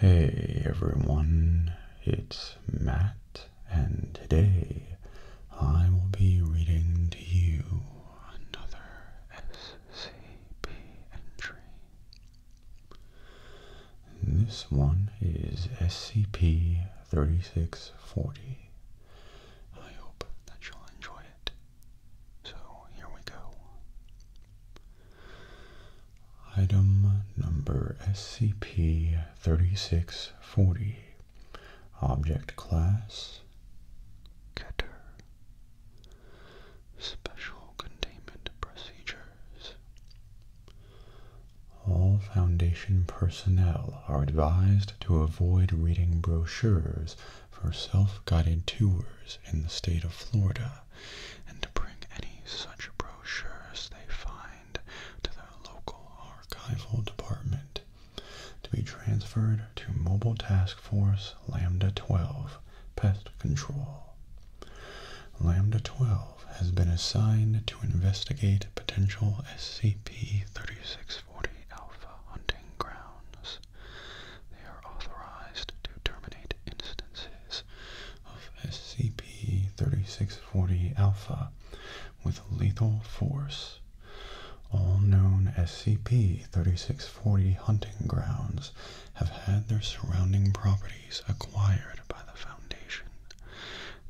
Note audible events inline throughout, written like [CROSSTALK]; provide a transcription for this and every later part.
Hey everyone, it's Matt, and today I will be reading to you another SCP entry. This one is SCP 3640. I hope that you'll enjoy it. So here we go. Item number SCP-3640 Object Class Keter Special Containment Procedures All Foundation personnel are advised to avoid reading brochures for self-guided tours in the state of Florida and to bring any such brochures they find to their local archival department to be transferred to Mobile Task Force Lambda 12 Pest Control. Lambda 12 has been assigned to investigate potential SCP 3640 Alpha hunting grounds they are authorized to terminate instances of SCP-3640 Alpha with lethal force. All known SCP-3640 hunting grounds have had their surrounding properties acquired by the Foundation.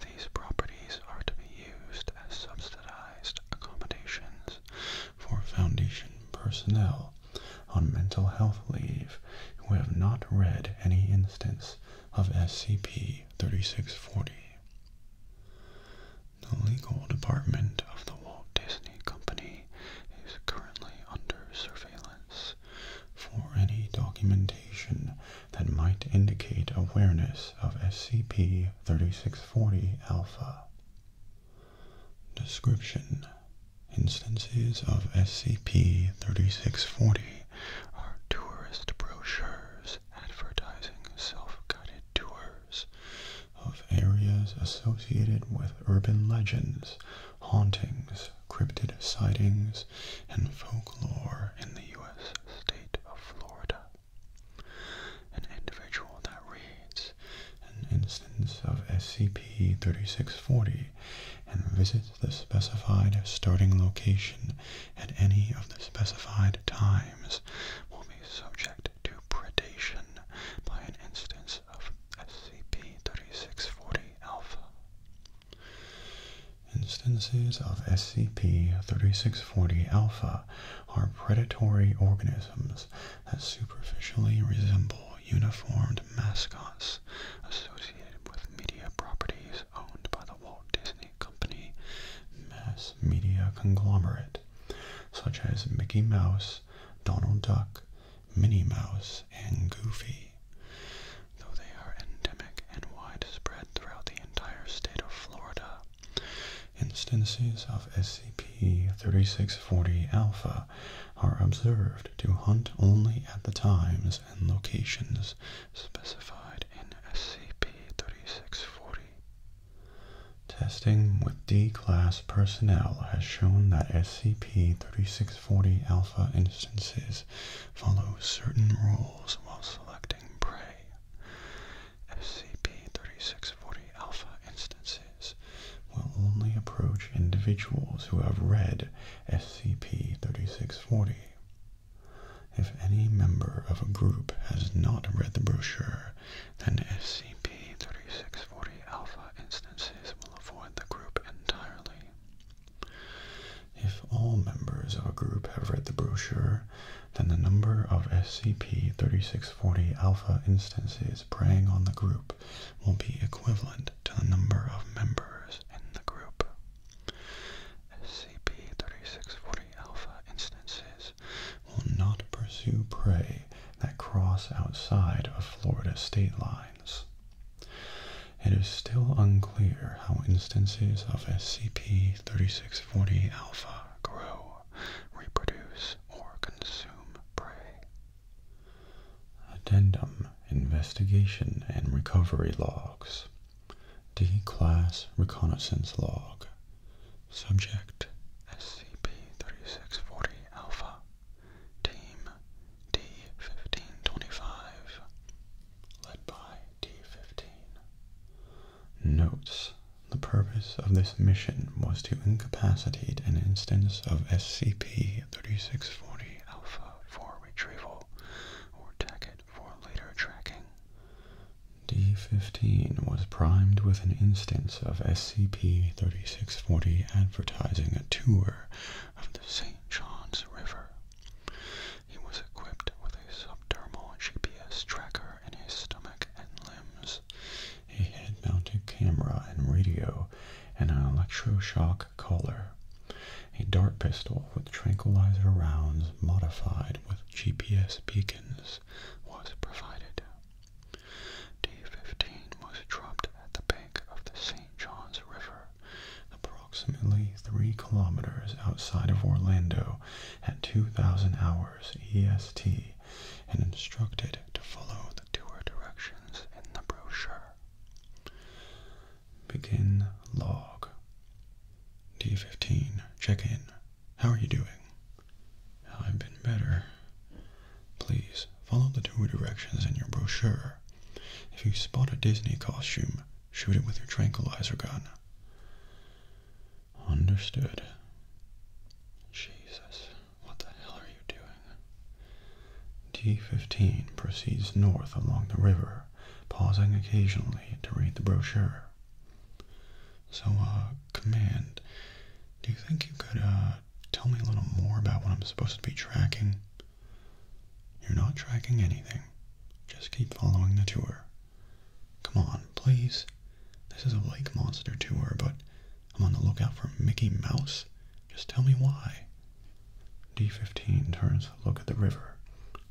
These properties are to be used as subsidized accommodations for Foundation personnel on mental health leave who have not read any instance of SCP-3640. The legal department of the Walt Disney Company is currently under surveillance for any documentation that might indicate awareness of SCP-3640 Alpha. Description Instances of SCP-3640 are tourist brochures advertising self-guided tours of areas associated with urban legends, hauntings, cryptid sightings, and folklore in the U.S. state of Florida. An individual that reads an instance of SCP-3640 and visit the specified starting location at any of the specified times will be subject to predation by an instance of SCP-3640 Alpha. Instances of SCP-3640 Alpha are predatory organisms that superficially resemble uniformed mascots associated with media properties owned by the Walt Disney Company mass media conglomerate, such as Mickey Mouse, Donald Duck, Minnie Mouse, and Goofy. Though they are endemic and widespread throughout the entire state of Florida, instances of SCP-3640 Alpha are observed to hunt only at the times and locations specified in SCP-3640. Testing with D-Class personnel has shown that SCP-3640 Alpha instances follow certain rules while selecting prey. SCP-3640 Alpha instances will only approach individuals who have read SCP-3640. If any member of a group has not read the brochure, then SCP-3640 Alpha instances will avoid the group entirely. If all members of a group have read the brochure, then the number of SCP-3640 Alpha instances members preying on the group will be equivalent to the number of members in the group. SCP-3640 Alpha instances will not pursue prey that cross outside of Florida state lines. It is still unclear how instances of SCP-3640 Alpha grow, reproduce, or consume prey. Addendum Investigation and Recovery Logs D Class Reconnaissance Log Subject SCP-3640 Alpha Team D-1525 Led by D-15 Notes The purpose of this mission was to incapacitate an instance of SCP-3640 Alpha for retrieval or tag it for later tracking. D-15 was primed with an instance of SCP-3640 advertising a tour of the St. Johns River. He was equipped with a subdermal GPS tracker in his stomach and limbs a head-mounted camera and radio, and an electroshock collar. A dart pistol with tranquilizer rounds modified with GPS beacons was provided. D-15 was dropped at the bank of the St. Johns River, approximately three kilometers outside of Orlando at 2,000 hours EST and instructed to follow the tour directions in the brochure. Begin log. D15, check in. How are you doing? I've been better. Please follow the tour directions in your brochure. If you spot a Disney costume, shoot it with your tranquilizer gun. Understood. Jesus. What the hell are you doing? D15 proceeds north along the river, pausing occasionally to read the brochure. So, uh, Command, do you think you could, uh, tell me a little more about what I'm supposed to be tracking? You're not tracking anything. Just keep following the tour. Come on, please. This is a lake monster tour, but I'm on the lookout for Mickey Mouse. Just tell me why. D15 turns to look at the river.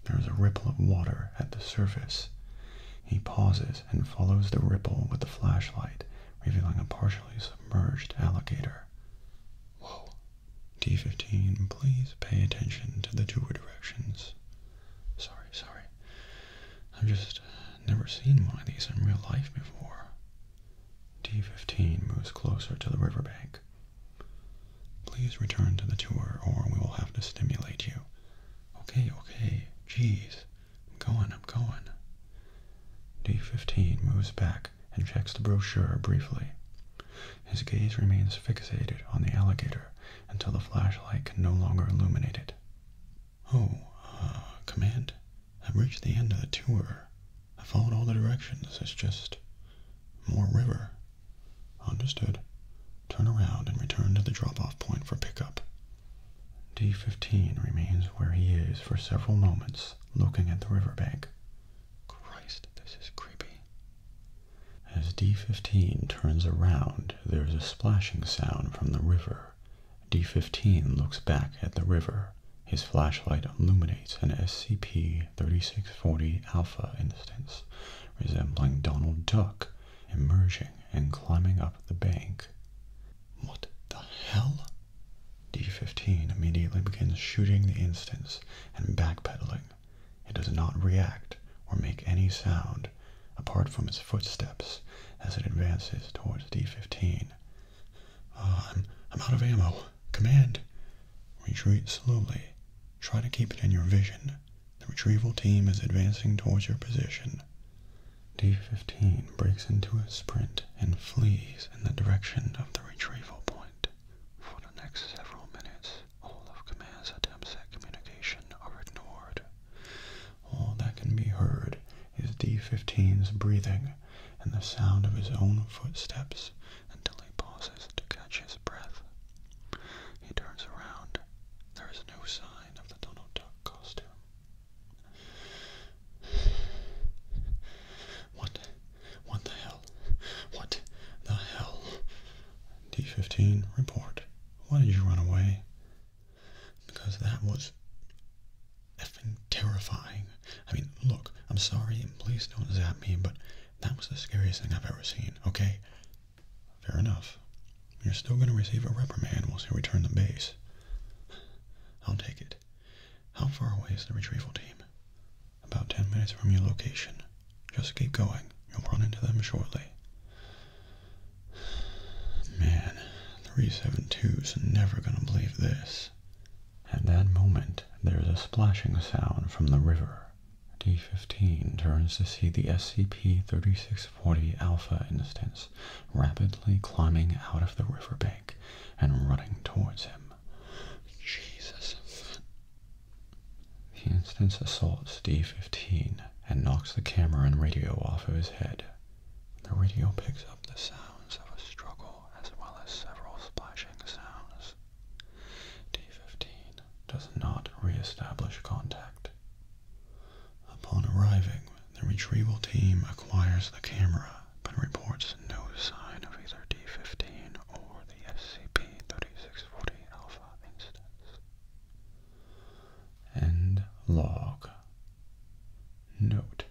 There is a ripple of water at the surface. He pauses and follows the ripple with the flashlight, revealing a partially submerged alligator. Whoa. D15, please pay attention to the tour directions. Sorry, sorry. I'm just never seen one of these in real life before. D-15 moves closer to the riverbank. Please return to the tour or we will have to stimulate you. Okay, okay, jeez. I'm going, I'm going. D-15 moves back and checks the brochure briefly. His gaze remains fixated on the alligator until the flashlight can no longer illuminate it. Oh, uh, Command, I've reached the end of the tour. I followed all the directions. It's just more river. Understood. Turn around and return to the drop-off point for pickup. D-15 remains where he is for several moments, looking at the riverbank. Christ, this is creepy. As D-15 turns around, there's a splashing sound from the river D-15 looks back at the river. His flashlight illuminates an SCP-3640 Alpha instance resembling Donald Duck emerging and climbing up the bank. What the hell? D-15 immediately begins shooting the instance and backpedaling. It does not react or make any sound apart from its footsteps as it advances towards D15. Ah, I'm, I'm out of ammo. Command! Retreat slowly. Try to keep it in your vision. The retrieval team is advancing towards your position. D15 breaks into a sprint and flees in the direction of the retrieval point. For the next several minutes, all of Command's attempts at communication are ignored. All that can be heard is D-15's breathing and the sound of his own footsteps until he pauses to catch his breath. He turns around. There is no sign of the Donald Duck costume. What? What the hell? What the hell? D-15, report. Why did you run away? because that was effing terrifying. I mean, look, I'm sorry, please don't zap me, but that was the scariest thing I've ever seen, okay? Fair enough. You're still going to receive a reprimand once you return to base. I'll take it. How far away is the retrieval team? About ten minutes from your location. Just keep going. You'll run into them shortly. Man, 372's never gonna believe this. At that moment, there's a splashing sound from the river. D-15 turns to see the SCP-3640 Alpha instance rapidly climbing out of the riverbank and running towards him. Jesus. The instance assaults D-15 and knocks the camera and radio off of his head. The radio picks up the sounds of a struggle as well as several splashing sounds. D-15 does not re-establish contact. Upon arriving, the retrieval team acquires the camera but reports no sign of either D-15 or the SCP-3640 Alpha instance. End log Note,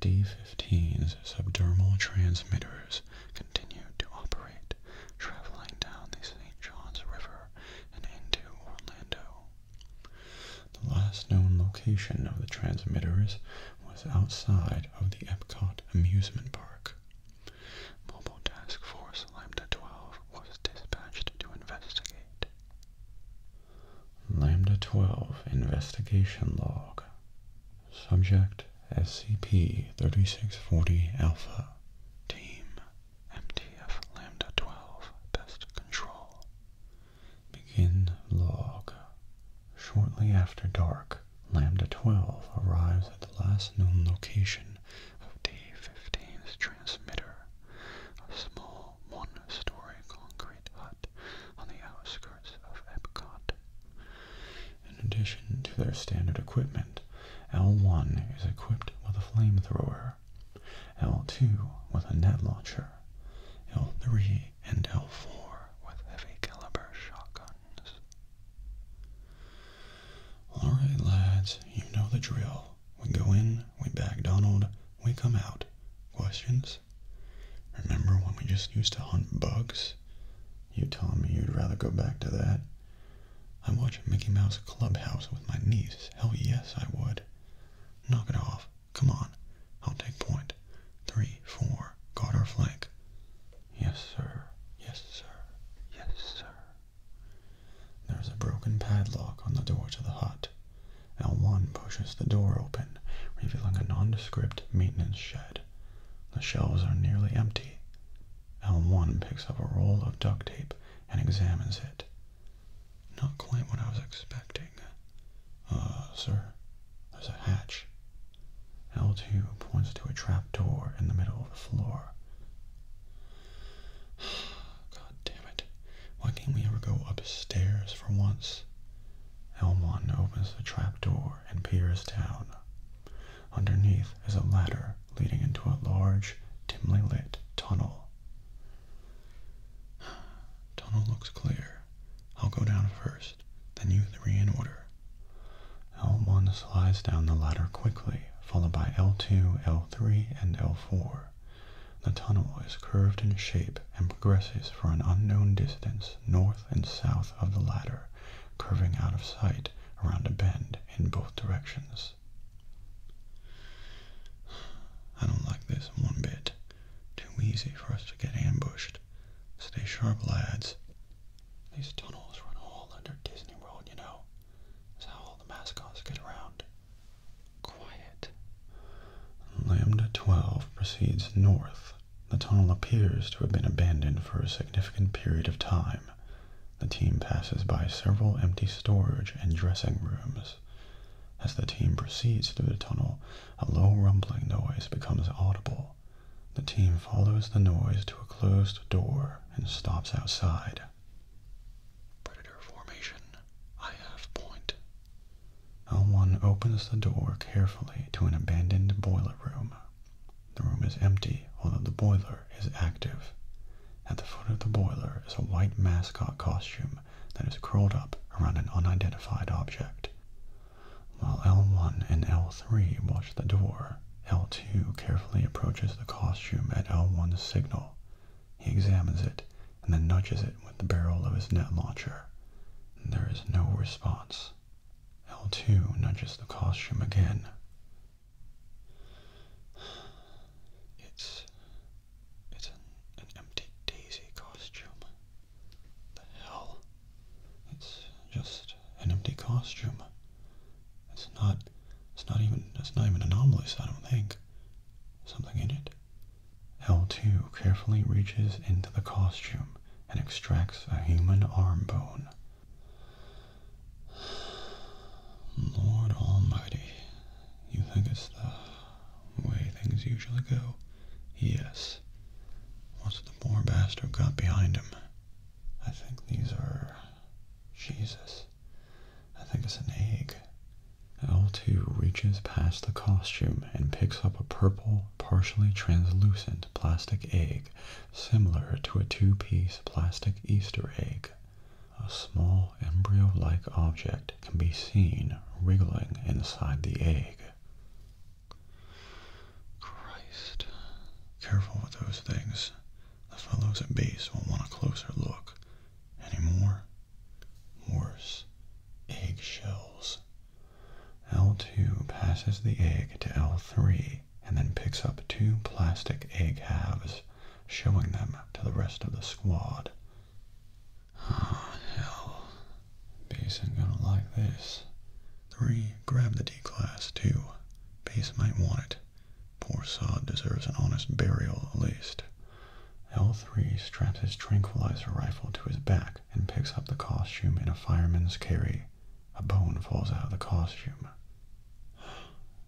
D15's subdermal transmitters continued to operate, traveling down the St. Johns River and into Orlando. The last known location of the transmitters was outside of the Epcot amusement park. Mobile Task Force Lambda 12 was dispatched to investigate. Lambda 12 Investigation Log Subject SCP 3640 Alpha Team MTF Lambda 12 Pest Control Begin Log Shortly after dark, Lambda 12 arrives at the last known location of Day 15s transmitter, a small one-story concrete hut on the outskirts of Epcot. In addition to their standard equipment, L1 is equipped with a flamethrower, L2 with a net launcher, L3 and L4 with heavy caliber shotguns. Alright lads, you know the drill. We go in, we bag Donald, we come out. Questions? Remember when we just used to hunt bugs? You telling me you'd rather go back to that? I watch Mickey Mouse Clubhouse with my niece. Hell yes, I would. Knock it off. Come on. I'll take point. Three, four. Guard our flank. Yes, sir. Yes, sir. Yes, sir. There is a broken padlock on the door to the hut. L1 pushes the door open, revealing a nondescript maintenance shed. The shelves are nearly empty. L1 picks up a roll of duct tape and examines it. Not quite what I was expecting. Uh, sir, there's a hatch. L2 points to a trap door in the middle of the floor. [SIGHS] damn it. Why can't we ever go upstairs for once? L1 opens the trapdoor and peers down. Underneath is a ladder leading into a large, dimly lit tunnel. [SIGHS] tunnel looks clear. I'll go down first, then you three in order. L1 slides down the ladder quickly, followed by L2, L3, and L4. The tunnel is curved in shape and progresses for an unknown distance north and south of the ladder, curving out of sight around a bend in both directions. I don't like this one bit. Too easy for us to get ambushed. Stay sharp, lads. These tunnels run all under Disney World, you know. That's how all the mascots get around quiet. Lambda 12 proceeds north. The tunnel appears to have been abandoned for a significant period of time. The team passes by several empty storage and dressing rooms. As the team proceeds through the tunnel, a low rumbling noise becomes audible. The team follows the noise to a closed door and stops outside. Predator formation. I have point. L1 opens the door carefully to an abandoned boiler room. The room is empty, although the boiler is active. At the foot of the boiler is a white mascot costume that is curled up around an unidentified object. While L1 and L3 watch the door, L2 carefully approaches the costume at L1's signal he examines it and then nudges it with the barrel of his net launcher. There is no response. L2 nudges the costume again. It's it's an, empty daisy costume. The hell? It's just an empty costume. It's not it's not even, that's not even anomalous, I don't think. Something in it. L2 carefully reaches into the costume and extracts a human arm bone. Lord almighty, you think it's the way things usually go? Yes. What's the poor bastard got behind him? I think these are... Jesus. I think it's an egg. L2 reaches past the costume and picks up a purple, partially translucent plastic egg similar to a two-piece plastic Easter egg. A small embryo-like object can be seen wriggling inside the egg. Christ. Careful with those things. The fellows at base will not want a closer look. anymore. Worse, eggshells. L2 passes the egg to L3 and then picks up two plastic egg halves, showing them to the rest of the squad. Ah, oh, hell. Base ain't gonna like this. 3. Grab the D-Class, too. Base might want it. Poor sod deserves an honest burial at least. L3 straps his tranquilizer rifle to his back and picks up the costume in a fireman's carry. A bone falls out of the costume. [GASPS]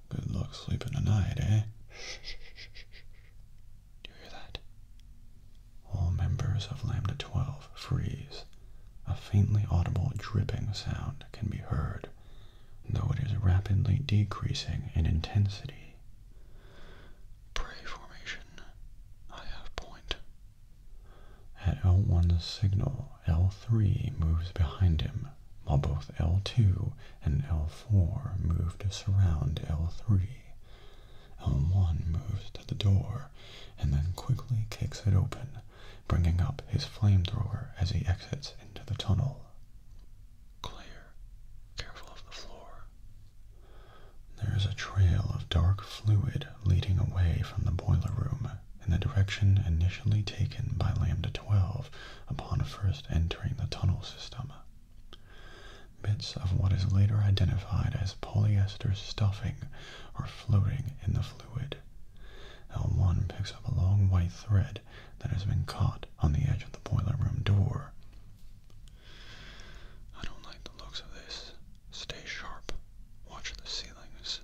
Good luck sleeping tonight, eh? [LAUGHS] Do you hear that? All members of Lambda 12 freeze. A faintly audible dripping sound can be heard though it is rapidly decreasing in intensity. Prey formation, I have point. At l one the signal, L3 moves behind him, while both L2 and L4 move to surround L3. L1 moves to the door and then quickly kicks it open, bringing up his flamethrower as he exits into the tunnel. Clear. Careful of the floor. There is a trail of dark fluid leading away from the boiler room in the direction initially taken by Lambda 12 upon first entering the tunnel system. Bits of what is later identified as polyester stuffing are floating in the fluid. L1 picks up a long white thread that has been caught on the edge of the boiler room door. I don't like the looks of this. Stay sharp. Watch the ceilings.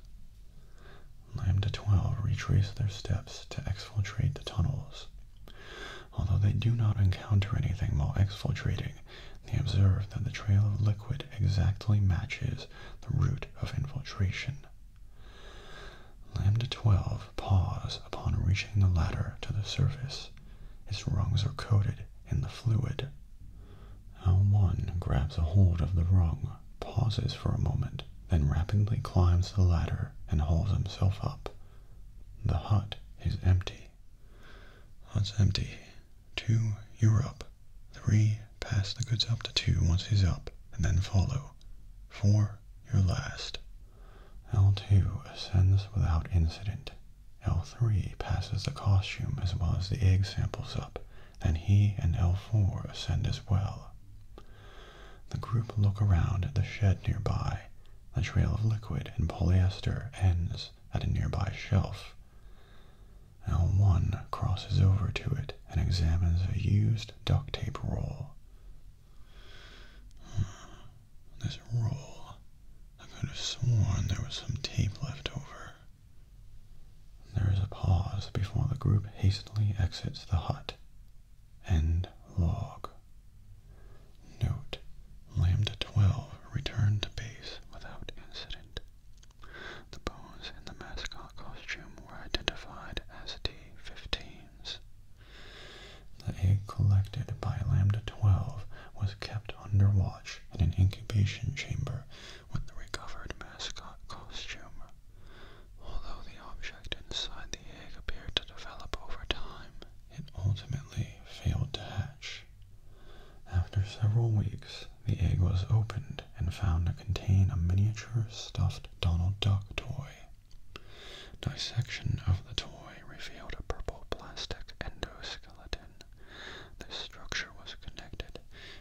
Lambda 12 retrace their steps to exfiltrate the tunnels. Although they do not encounter anything while exfiltrating, they observe that the trail of liquid exactly matches the route of infiltration. Lambda 12 paws upon reaching the ladder to the surface. Its rungs are coated in the fluid. L1 grabs a hold of the rung, pauses for a moment, then rapidly climbs the ladder and hauls himself up. The hut is empty. Hut's empty. Two, you're up. Three, pass the goods up to two once he's up, and then follow. 4 your last. L2 ascends without incident. L3 passes the costume as well as the egg samples up. Then he and L4 ascend as well. The group look around at the shed nearby. The trail of liquid and polyester ends at a nearby shelf. L1 crosses over to it and examines a used duct tape roll. This roll. I could have sworn there was some tape left over. There is a pause before the group hastily exits the hut. and log. Note, Lambda 12 returned to base without incident. The bones in the mascot costume were identified as T-15s. The egg collected by Lambda-12 was kept under watch in an incubation chamber with the recovered mascot costume. Although the object inside the egg appeared to develop over time, it ultimately failed to hatch. After several weeks, the egg was opened and found to contain a miniature stuffed Donald Duck toy. Dissection of the toy revealed a purple plastic endoskeleton. This structure was connected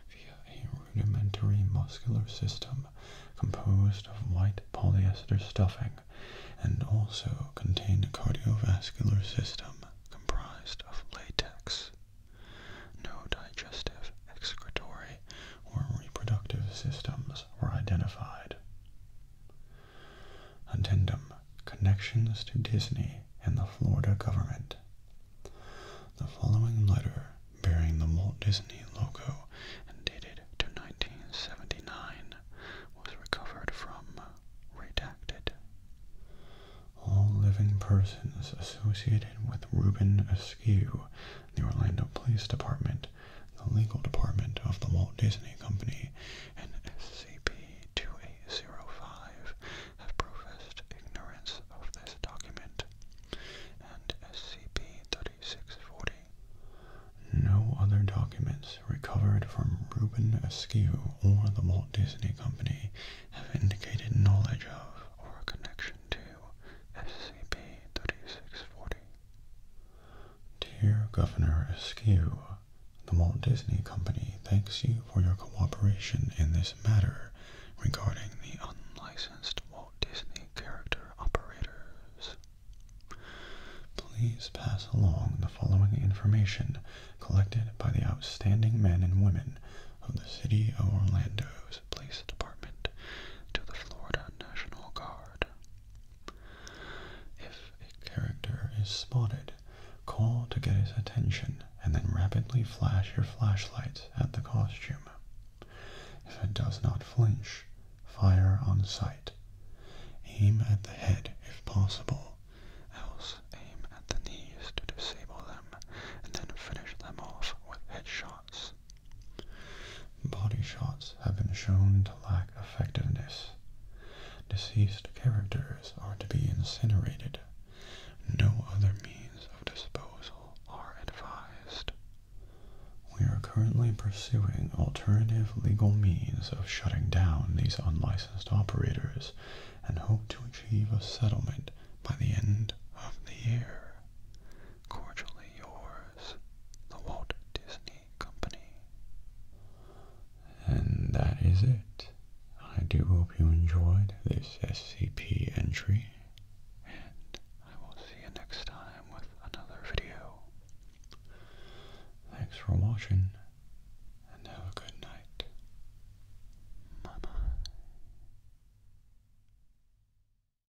via a rudimentary muscular system composed of white polyester stuffing and also contained a cardiovascular system comprised of latex. No digestive, excretory, or reproductive systems were identified. Addendum Connections to Disney and the Florida Government. The following letter, bearing the Walt Disney logo and dated to 1979, was recovered from Redacted. All living persons associated with Reuben Askew, the Orlando Police Department, the legal department of the Walt Disney Company and SCP-2805 have professed ignorance of this document, and SCP-3640. No other documents recovered from Reuben Askew or the Walt Disney Company have indicated knowledge of or connection to SCP-3640. Dear Governor Askew, the Walt Disney Company thanks you for your cooperation in this matter regarding the unlicensed Walt Disney character operators. Please pass along the following information collected by the outstanding men and women of the City of Orlando's Police Department to the Florida National Guard if a character is spotted, call to get his attention and then rapidly flash your flashlight at the costume. If it does not flinch, fire on sight. Aim at the head if possible, else aim at the knees to disable them and then finish them off with headshots. Body shots have been shown to lack effectiveness. Deceased characters are to be incinerated. No other means of disposal are advised. We are currently pursuing alternative legal means of shutting down these unlicensed operators and hope to achieve a settlement by the end of the year. Cordially yours the Walt Disney Company. And that is it. I do hope you enjoyed this SCP entry, and I will see you next time with another video. Thanks for watching, and have a good night. Bye-bye.